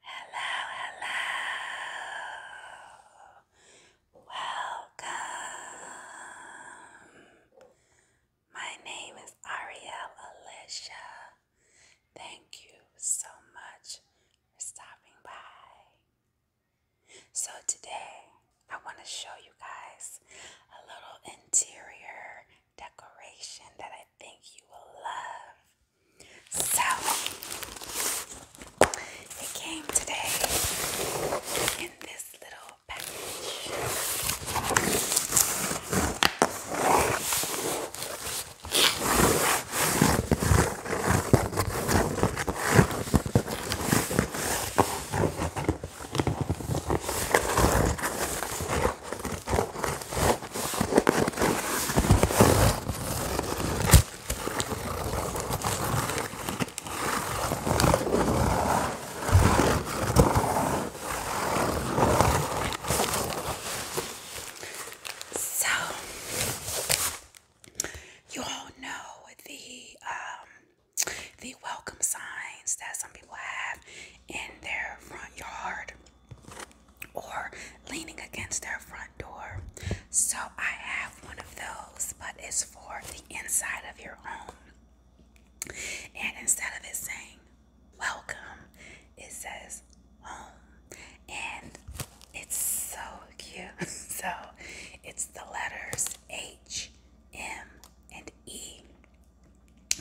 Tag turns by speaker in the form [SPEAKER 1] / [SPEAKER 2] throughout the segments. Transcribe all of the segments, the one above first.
[SPEAKER 1] Hello, hello. Welcome. My name is Ariel Alicia. Thank you so much for stopping by. So, today I want to show you guys a little interior decoration that I think you will love. So it came today in this little package. So, you all know the um, the welcome signs that some people have in their front yard or leaning against their front door. So I have one of those, but it's for the inside of your home. And instead of it saying welcome, it says home. And it's so cute. so it's the letters H, M, and E.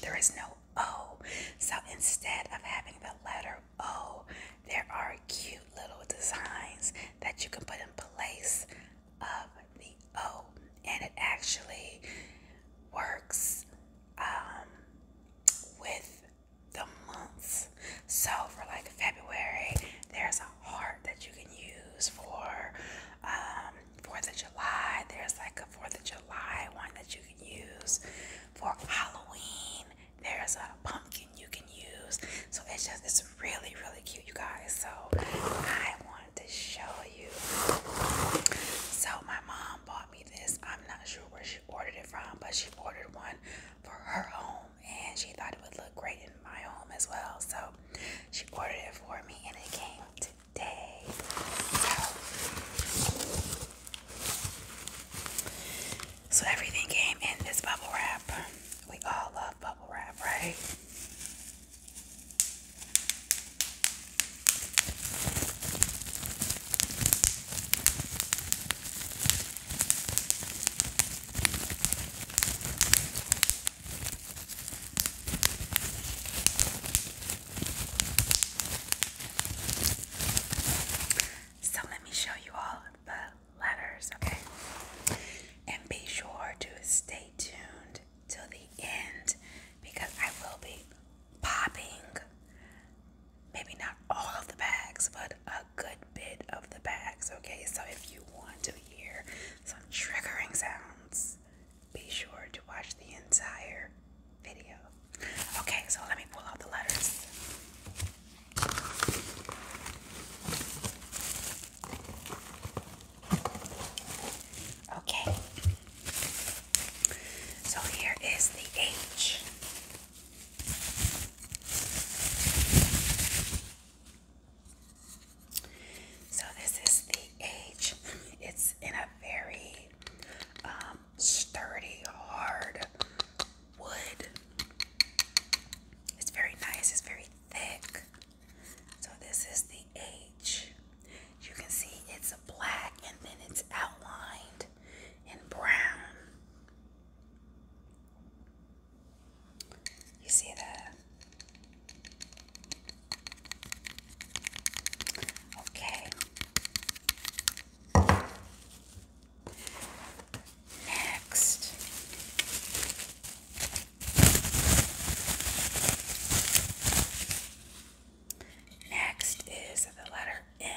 [SPEAKER 1] There is no O. So instead of having the letter Oh, there are cute little designs that you can put in place of the O, oh, and it actually works um, with the months. So, for like February, there's a heart that you can use for um, Fourth of July. There's like a Fourth of July one that you can use for Halloween. There's a pumpkin you can use. So it's just, it's really, really cute, you guys. So I wanted to show you. So my mom bought me this. I'm not sure where she ordered it from, but she ordered one for her home and she thought it would look great in my home as well. So she ordered it for me and it came today. So everything came in this bubble wrap. We all love bubble wrap, right? So let me show you all the letters, okay? And be sure to stay tuned till the end because I will be popping maybe not all of the bags, but a good bit of the bags, okay? So if you want to hear some triggering sounds, be sure to watch the entire video. Okay, so let me pull out the letters. Okay. So here is the H. So this is the H. It's in a very um, sturdy, hard wood. It's very nice, it's very thick. So, this is the H. You can see it's black and then it's outlined in brown. You see that? Okay. Next, next is the letter M.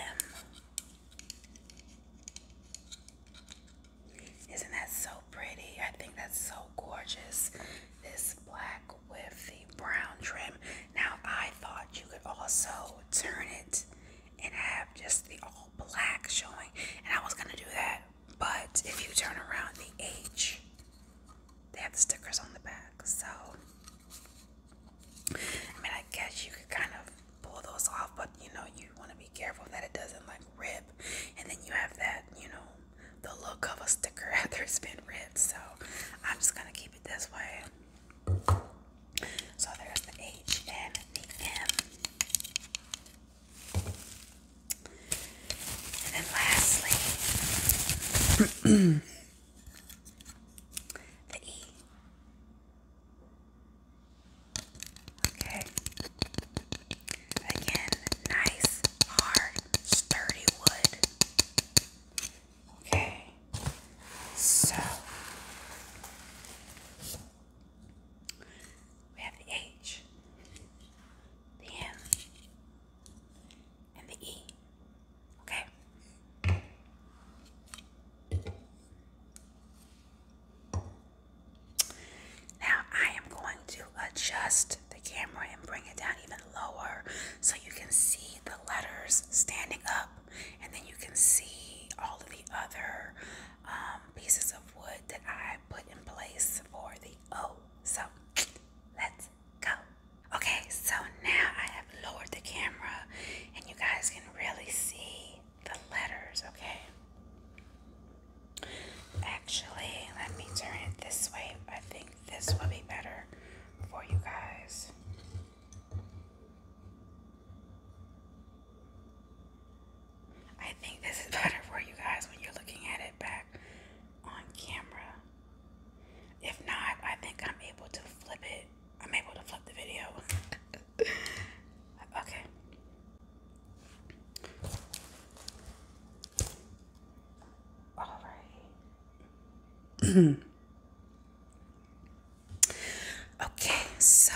[SPEAKER 1] Isn't that so pretty? I think that's so gorgeous. This black with the brown trim. Now I thought you could also turn it and have just the all black showing. And I was gonna do that, but if you turn around the H, they have the stickers on the back. So I mean I guess you could kind of pull those off, but you know you wanna be careful that it doesn't like rip and then you have that, you know, the look of a sticker after it's been ripped. So I'm just gonna keep it this way. So there's the H and the M. And then lastly, the E. Okay. Again, nice, hard, sturdy wood. Okay, so we have the H, the M, and the E. Okay. Now I am going to adjust the camera and bring it down even lower so you can see the letters standing up and then you can see all of the other um, pieces of wood that I put in place for the O. Oh, so let's go. Okay, so now I have lowered the camera and you guys can really see the letters, okay? Actually, let me turn it this way. I think this will be better for you guys. I think this is better for you guys when you're looking at it back on camera. If not, I think I'm able to flip it. I'm able to flip the video. okay. All right. Okay, so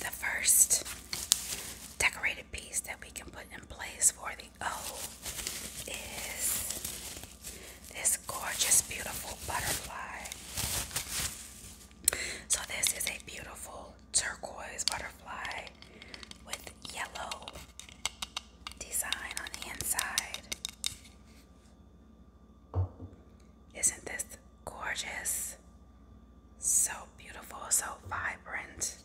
[SPEAKER 1] the first decorated piece that we can put in place for the O is this gorgeous, beautiful butterfly. So, this is a beautiful turquoise butterfly with yellow design on the inside. Isn't this gorgeous? So beautiful, so vibrant.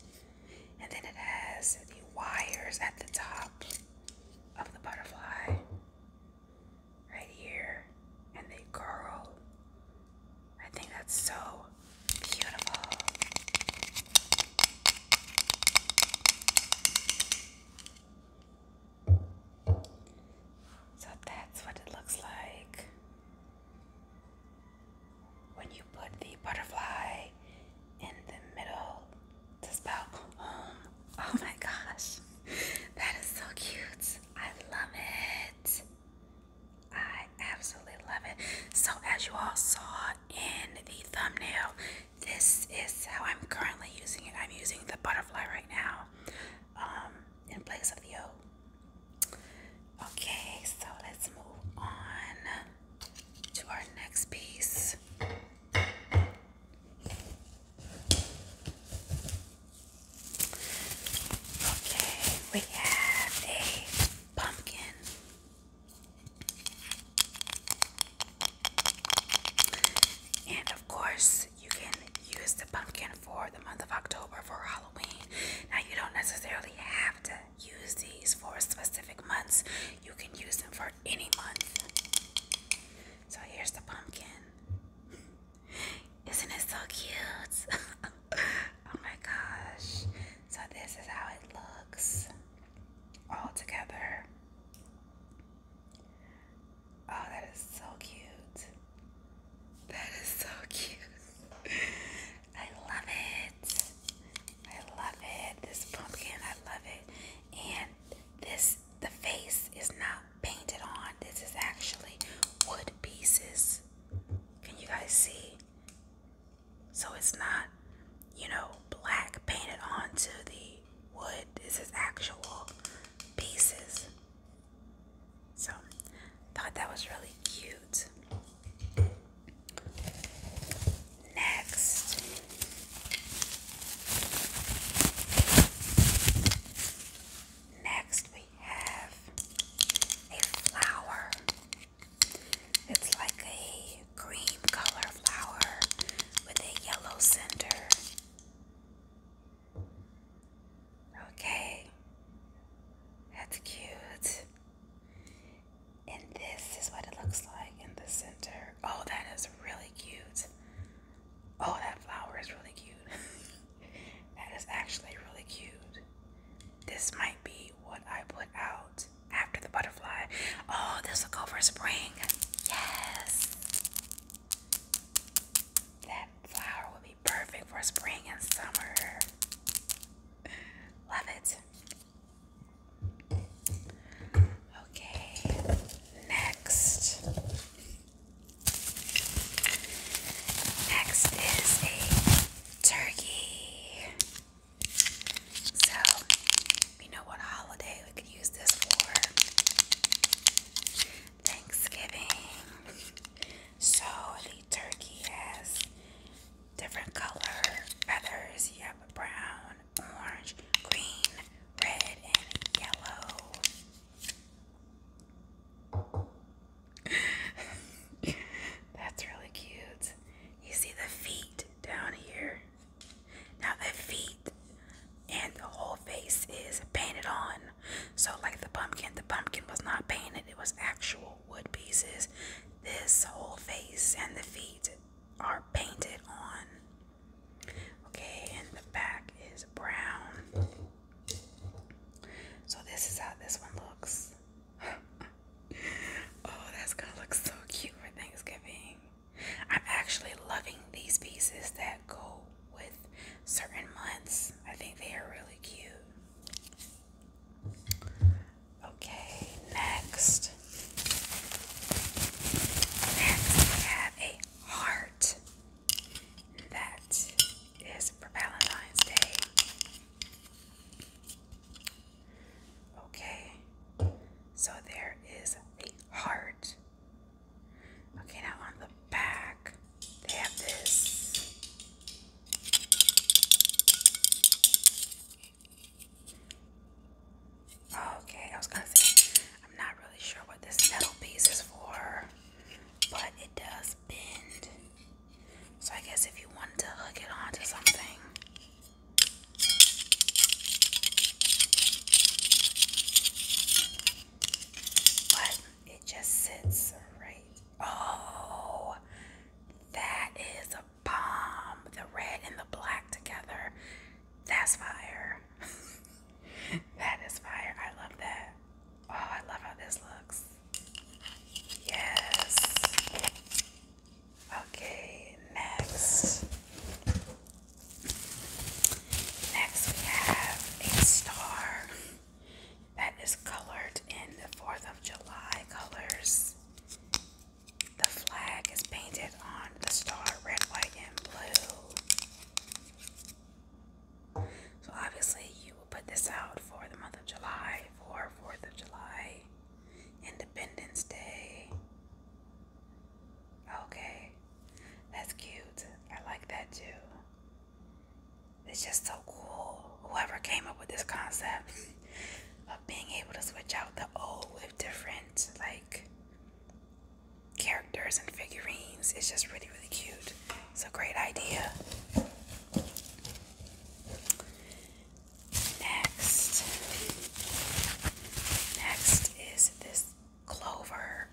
[SPEAKER 1] And then it has the wires at the top of the butterfly right here, and they curl. I think that's so beautiful. So that's what it looks like when you put the butterfly in the middle to spell home. Oh my gosh, that is so cute. I love it. I absolutely love it. So, as you all saw in the thumbnail, this is how I'm currently using it. I'm using the butterfly right now um, in place of the O. Okay, so let's move on to our next piece. Okay, we have a pumpkin and of course, you can use the pumpkin for the month of October for Halloween. Now, you don't necessarily have to use these for specific months, you can use them for any month. So, here's the pumpkin. Isn't it so cute? oh my gosh. So, this is how it looks all together. Oh, that is so cute. That is so cute. I love it. I love it. This pumpkin, I love it. And this, the face is not painted on. This is actually wood pieces. Can you guys see? So it's not, you know, black painted onto the wood. This is actual pieces. So thought that was really cute. Next Next we have a flower. It's like a cream color flower with a yellow center. Okay, that's cute. And this is what it looks like in the center. Oh, that is really cute. Oh, that flower is really cute. that is actually really cute. This might be what I put out after the butterfly. Oh, this will go for spring. Yes. That flower will be perfect for spring and summer. Love it. Okay, next. Next is a turkey. So, you know what holiday we could use this for? Thanksgiving. So, the turkey has different color feathers. You have brown, orange, green, red, and yellow. That's really cute. You see the feet down here. Now the feet and the whole face is painted on. So like the pumpkin, the pumpkin was not painted, it was actual wood pieces. This whole face and the feet are painted on. Okay, and the back is brown. So this is how this one looks. oh, that's gonna look so cute for Thanksgiving. I'm actually loving these pieces that go with certain months. I think they are really cute. Okay, next. we have a heart. That is for Valentine's Day. Okay, so there is a heart. Okay, now on the back, they have this. Okay, I was gonna say, I'm not really sure what this metal piece is for, but it does bend. So I guess if you wanted to hook it onto something, but it just sits right. Oh, that is a bomb. The red and the black together. That's fire. that is fire. I love that. Oh, I love how this looks. Yes. Okay, next. Next, we have a star that is colored in the 4th of July colors. The flag is painted on the star red, white, and blue. So, obviously, you will put this out for the month of July for 4th of July. Independence Day. Okay, that's cute. I like that too. It's just so cool. Whoever came up with this concept of being able to switch out the old with different, like, characters and figurines its just really, really cute. It's a great idea. Next, next is this clover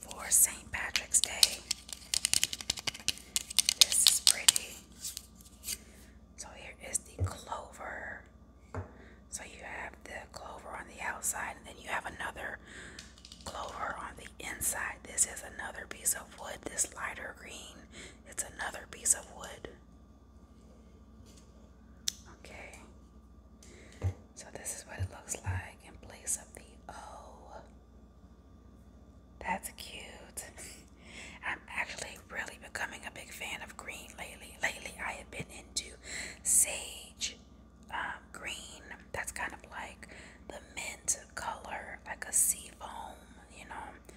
[SPEAKER 1] for St. Patrick's Day. This is pretty. So here is the clover. So you have the clover on the outside, and then you have another clover on the inside. This is another piece of wood. This lighter green, it's another piece of wood. Okay, so this is what it looks like in place of the O. That's cute. I'm actually really becoming a big fan of green lately. Lately, I have been into sage um, green. That's kind of like the mint color, like a sea foam, you know.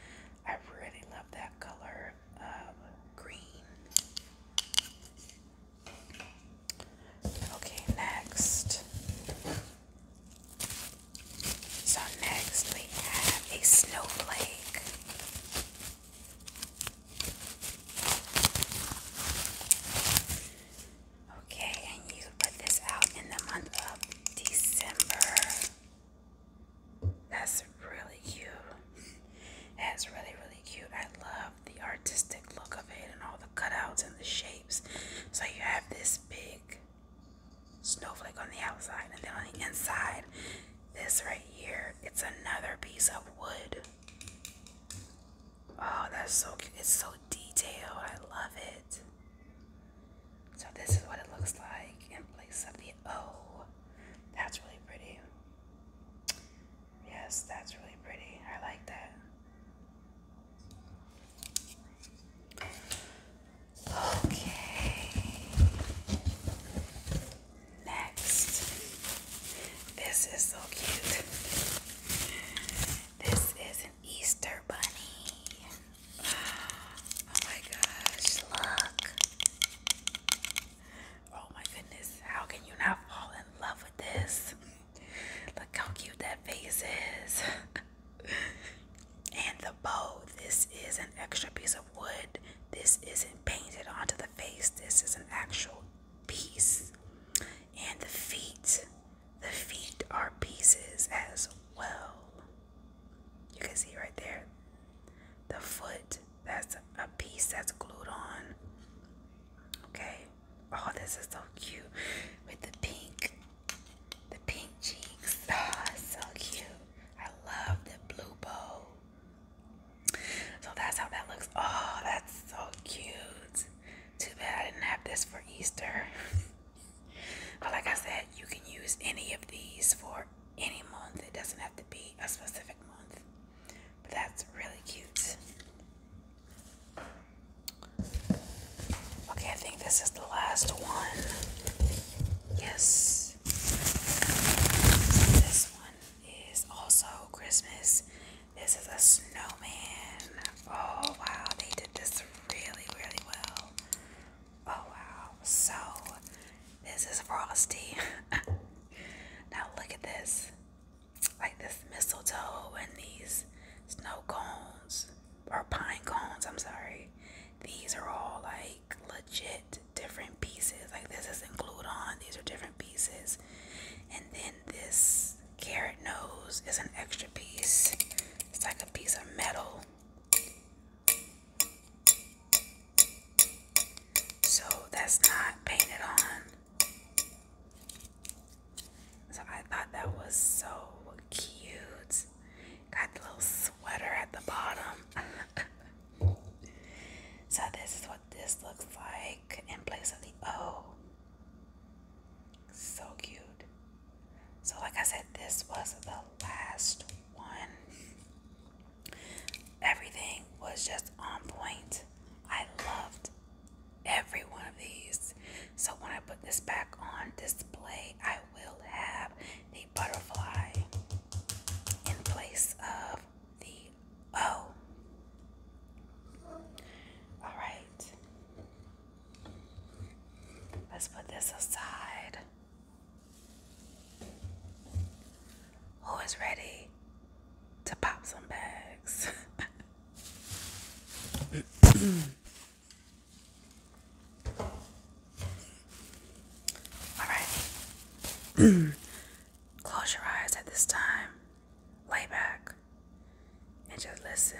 [SPEAKER 1] I really love that color of green. Okay, next. So, next we have a snowflake. Okay, and you put this out in the month of December. That's really cute. That's really, really cute. I love the artistic look of it and all the cutouts and the shapes. So you have this big snowflake on the outside, and then on the inside, this right here, it's another piece of wood. Oh, that's so cute. It's so detailed. I love it. So this is what it looks like in place of the O. That's really pretty. Yes, that's really pretty. I like that. Okay. Next. This is so cute. This is an Easter bunny. Oh my gosh, look. Oh my goodness, how can you not fall in love with this? Look how cute that face is. and the bow. This is an extra piece of wood. This isn't painted onto the face. This is an actual piece. And the feet. The feet are pieces as well. You can see right there the foot that's a piece that's glued on. Okay, oh, this is so cute with the pink, the pink cheeks. Ah, oh, so cute. I love the blue bow. So that's how that looks. Oh, that's so cute. Too bad I didn't have this for Easter. but like I said, you can use any of these for any month. It doesn't have to be a specific month. But that's really cute. Okay, I think this is the last one. Yes. this one is also Christmas. This is a snowman. Oh wow, they did this really, really well. Oh wow, so this is frosty. now look at this. Like this mistletoe and these snow cones or pine cones, I'm sorry. These are all like legit different pieces. Like this isn't glued on, these are different pieces. And then this carrot nose is an extra piece. It's like a piece of metal so that's not painted on. So I thought that was so cute. Got the little sweater at the bottom. so this is what this looks like in place of the O. So cute. So like I said, this was the last one. Everything was just on point. I loved every one of these. So when I put this back on display, I will have the butterfly in place of the O. All right. Let's put this aside. Who is ready to pop some bags? All right. Close your eyes at this time. Lay back and just listen.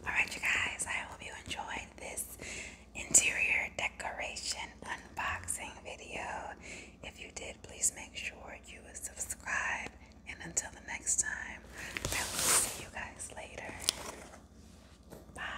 [SPEAKER 1] All right, you guys, I hope you enjoyed this interior decoration unboxing video. If you did, please make sure you subscribe. And until the next time, I will see you guys later. Bye.